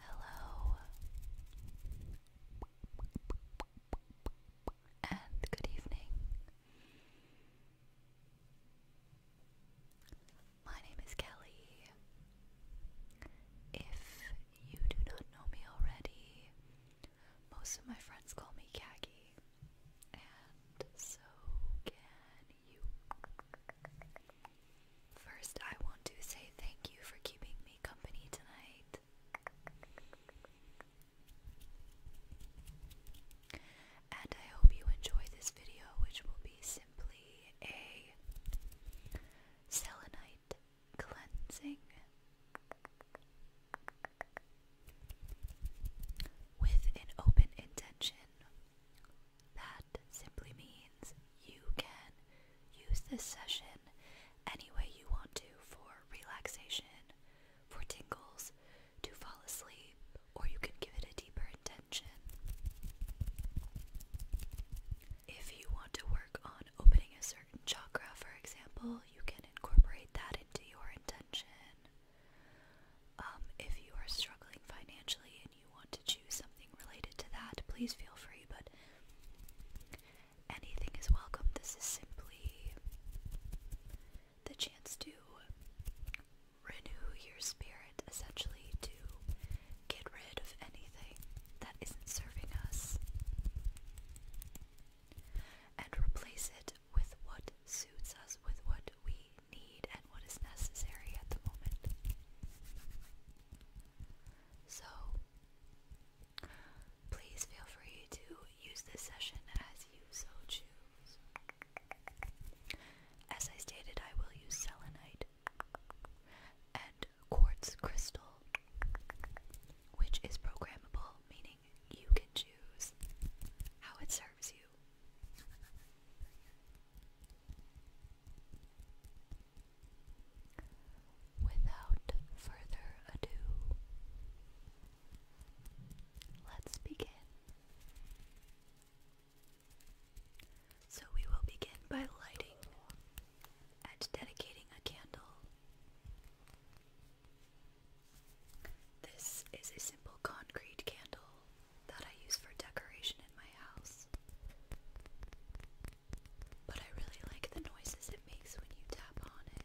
Hello and good evening. My name is Kelly. If you do not know me already, most of my friends call me Khaki, and so can First, I want to say thank you for keeping me company tonight. And I hope you enjoy this video, which will be simply a selenite cleansing with an open intention that simply means you can use this session any way you want to for relaxation, for tingles, to fall asleep, or you can give it a deeper intention. If you want to work on opening a certain chakra, for example, you can incorporate that into your intention. Um, if you are struggling financially you want to choose something related to that, please feel free, but anything is welcome. This is simply the chance to renew your spirit, essentially, to get rid of anything that isn't serving us and replace it with what suits us, with what we need and what is necessary at the moment. So, please feel free to use this session as you so choose. As I stated, I will use selenite and quartz crystal, which is programmable, meaning you can choose how it serves you. Without further ado, let's begin. So, we will begin by lighting and dedicating a candle. This is a simple concrete candle that I use for decoration in my house. But I really like the noises it makes when you tap on it.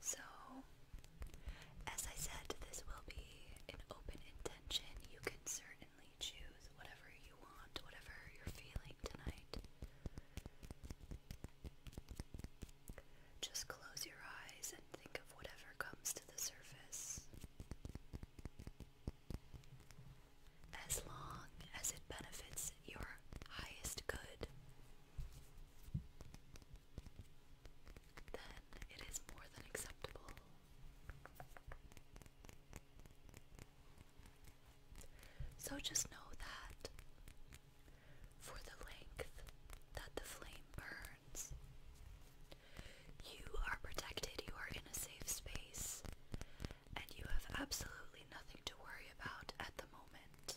So, as I said, this will be an open intention. You can certainly choose whatever you want, whatever you're feeling tonight. Just close your eyes and think of whatever comes to the surface. As long as it benefits your highest good, then it is more than acceptable. So just know that for the length that the flame burns, you are protected, you are in a safe space, and you have absolutely nothing to worry about at the moment.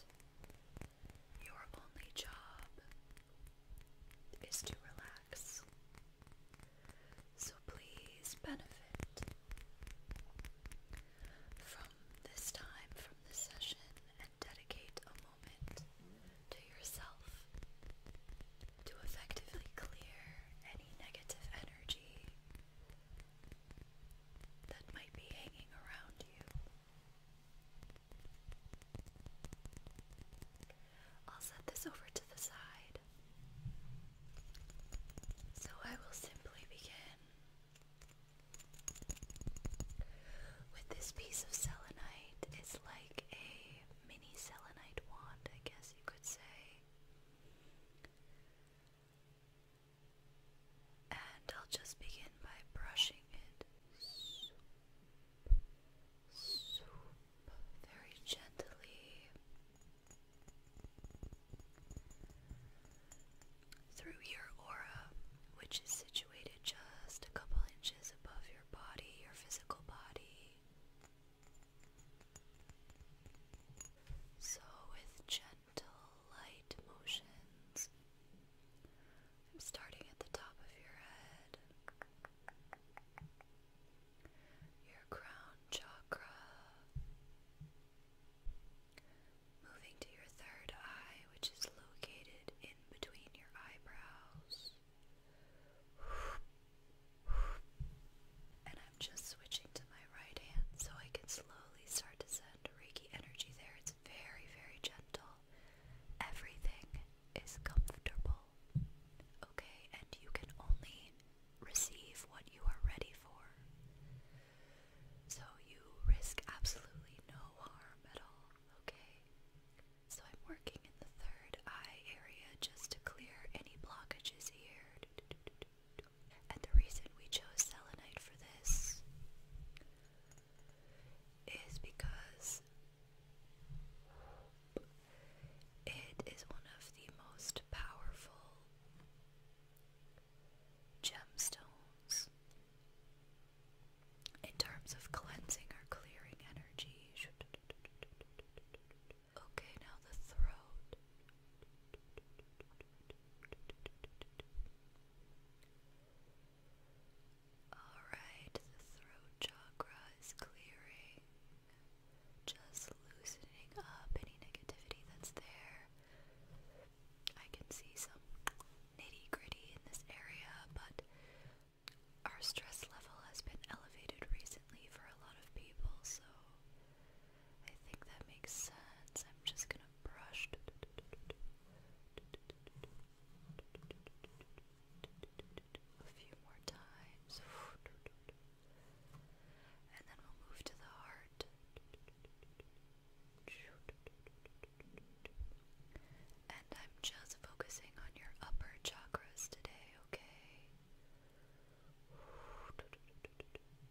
Your only job is to relax. So please benefit from this time, from this session, and dedicate a moment to yourself to effectively clear any negative energy that might be hanging around you. I'll set this over to the side. So I will simply begin with this piece of selenite. It's like a mini selenite wand, I guess you could say. And I'll just begin by brushing it very gently through your aura, which is situated just a couple inches above your body, your physical body. So, with gentle motions. I'm starting at the top of your head, your crown chakra, moving to your third eye, which is located in between your eyebrows. And I'm just switching to my right hand so I can slowly start to send energy there. It's very, very gentle. Everything is comfortable. Okay, and you can only receive what you are ready for. So you risk absolutely no harm at all, okay? So I'm working in the third eye area just to clear any blockages here. And the reason we chose selenite for this is because it is one of the most powerful gemstones in terms of cleansing or clearing energy. Okay, now the throat. Alright, the throat chakra is clearing, just loosening up any negativity that's there. I can see some nitty gritty in this area, but our stress level has been elevated recently for a lot of people, so I think that makes sense. I'm just gonna brush. A few more times. And then we'll move to the heart. And I'm just focusing on your upper chakras today, okay?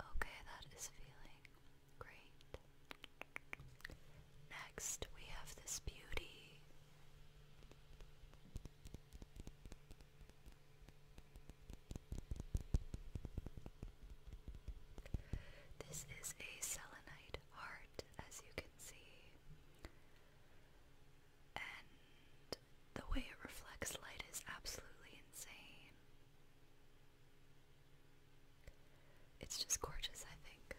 Okay, that is feeling great. Next, we have this beauty. This is a selenite heart, as you can see. And the way it reflects light is absolutely insane. It's just gorgeous, I think.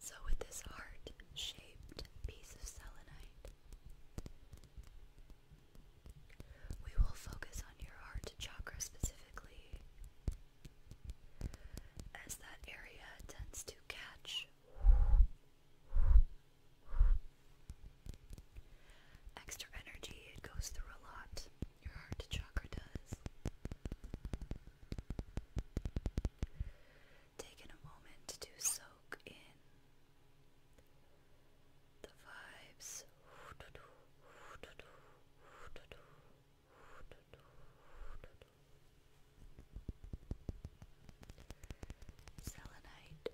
So, with this heart shaped piece of selenite, we will focus on your heart chakra specifically, as that area tends to catch extra energy. It goes through a lot. Your heart chakra does. Taking a moment to soak in the vibes. Selenite,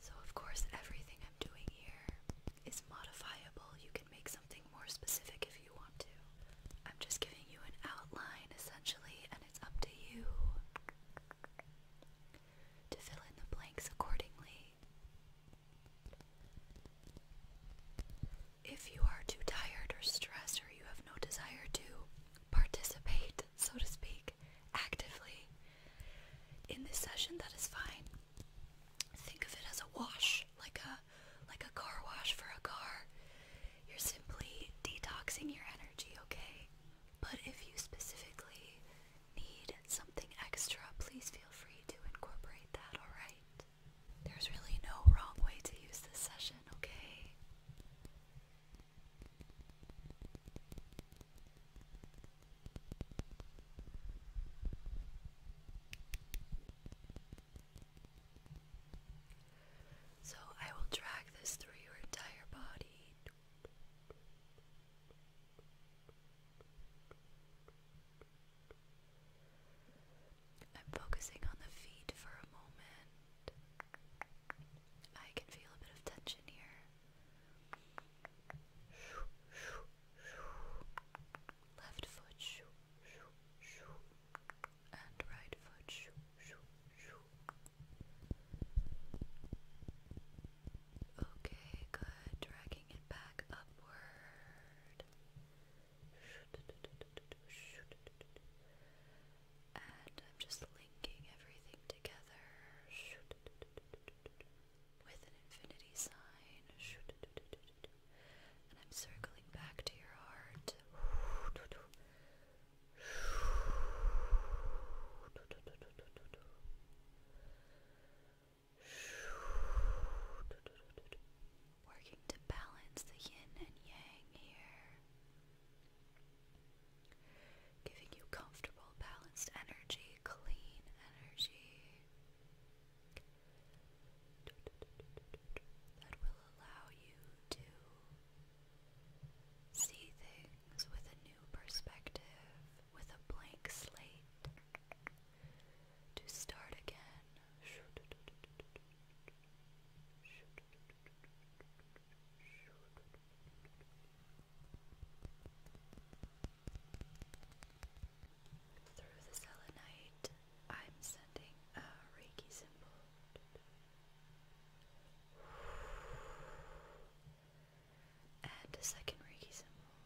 So, of course, everything I'm doing here is modifiable. You can make something more specific if you want to. I'm just giving you an outline essentially, and it's up to you to fill in the blanks accordingly. If you are too tired or stressed, or you have no desire to participate, so to speak, actively in this session, that is fine. Think of it as a wash, like a like a car wash for a car. You're simply detoxing your energy, okay? But if you specifically need something extra, please feel free to incorporate that, alright? There's really no wrong way to use this session, okay? So I will drag this through your entire body. I'm focusing on the feet for a moment. I can feel a bit of tension here. Left foot and right foot. Okay, good. Dragging it back upward. And I'm just linking everything together with an infinity sign. And I'm circling back to your heart. Working to balance the yin and yang here. Giving you comfortable, balanced energy, clean energy that will allow you to see things with a new perspective, with a blank slate, to start again. Through the selenite, I'm sending a Reiki symbol Add a second Reiki symbol.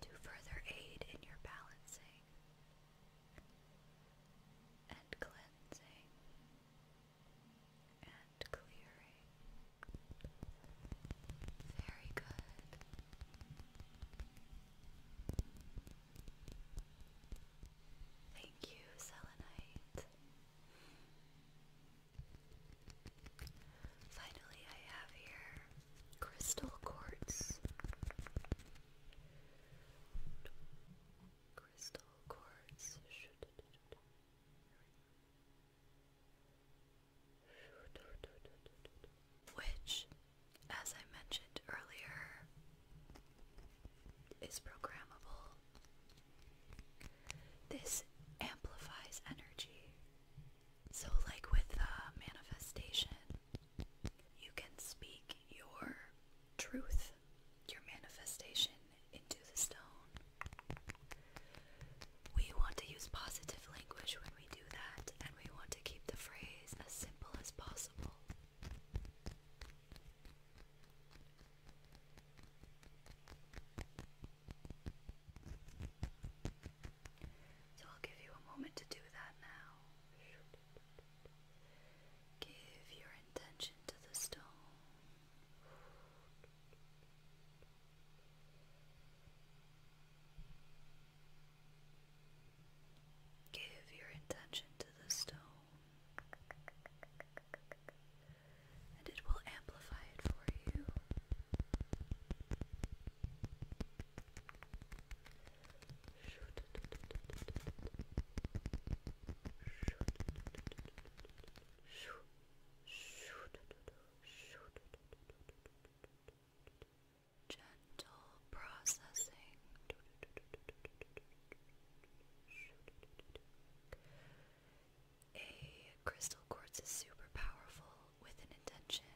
To further aid in your balancing and cleansing and clearing. Very good. Thank you, Selenite. Finally, I have here crystal quartz. Crystal quartz. Should which, as I mentioned earlier, is programmable. This amplifies energy. So, like with the uh, manifestation, you can speak your truth, your manifestation into the stone. We want to use positive language when we do that, and we want to keep the phrase as simple as possible. So I'll give you a moment to do that now. Give your intention to the stone. Give your intention to the stone, and it will amplify it for you. gentle processing. A crystal quartz is super powerful with an intention.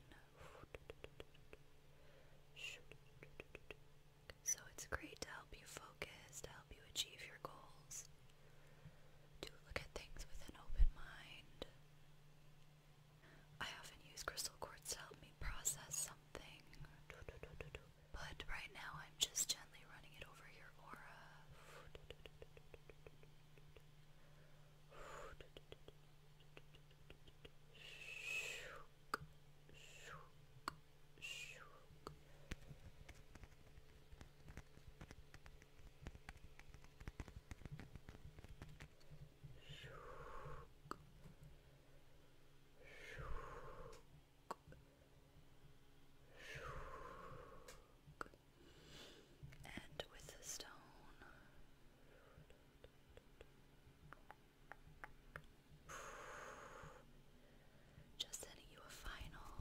So it's great to help you focus, to help you achieve your goals, to look at things with an open mind, I often use crystal quartz to help me process something, but right now I'm just gently running it over your aura and with a stone. Just sending you a final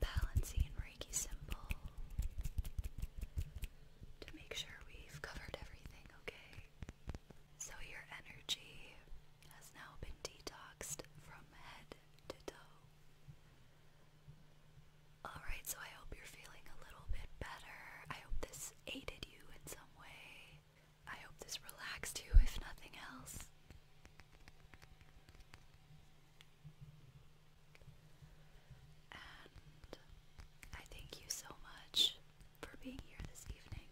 balancing Reiki symbol to make sure we've covered everything, okay? So your energy has now been detoxed from head to toe. Alright, so I hope you're feeling a little bit better. I hope this aided you in some way. I hope this relaxed you, if nothing else. And I thank you so much for being here this evening.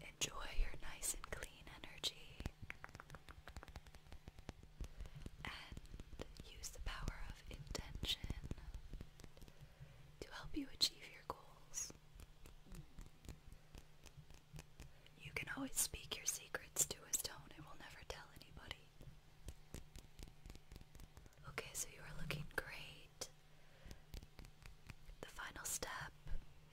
Enjoy your nice and clean energy and use the power of intention to help you achieve your goals. You can always speak your secrets to a stone, it will never tell anybody. Okay, so you are looking great. The final step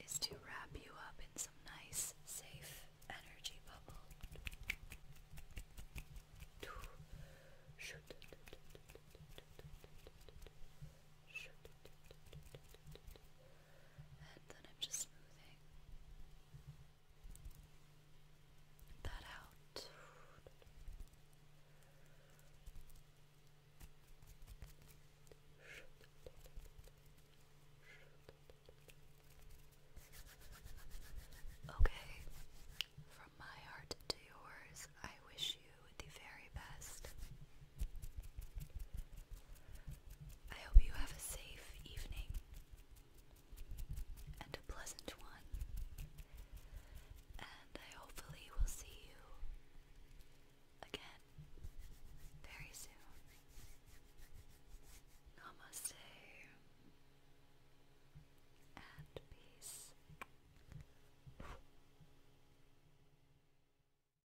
is to wrap you up in some nice, safe energy bubble and then I'm just smoothing that out. Okay, from my heart to yours, I wish you the very best. I hope you have a safe evening and a pleasant one, and I hopefully will see you again very soon. Namaste and peace.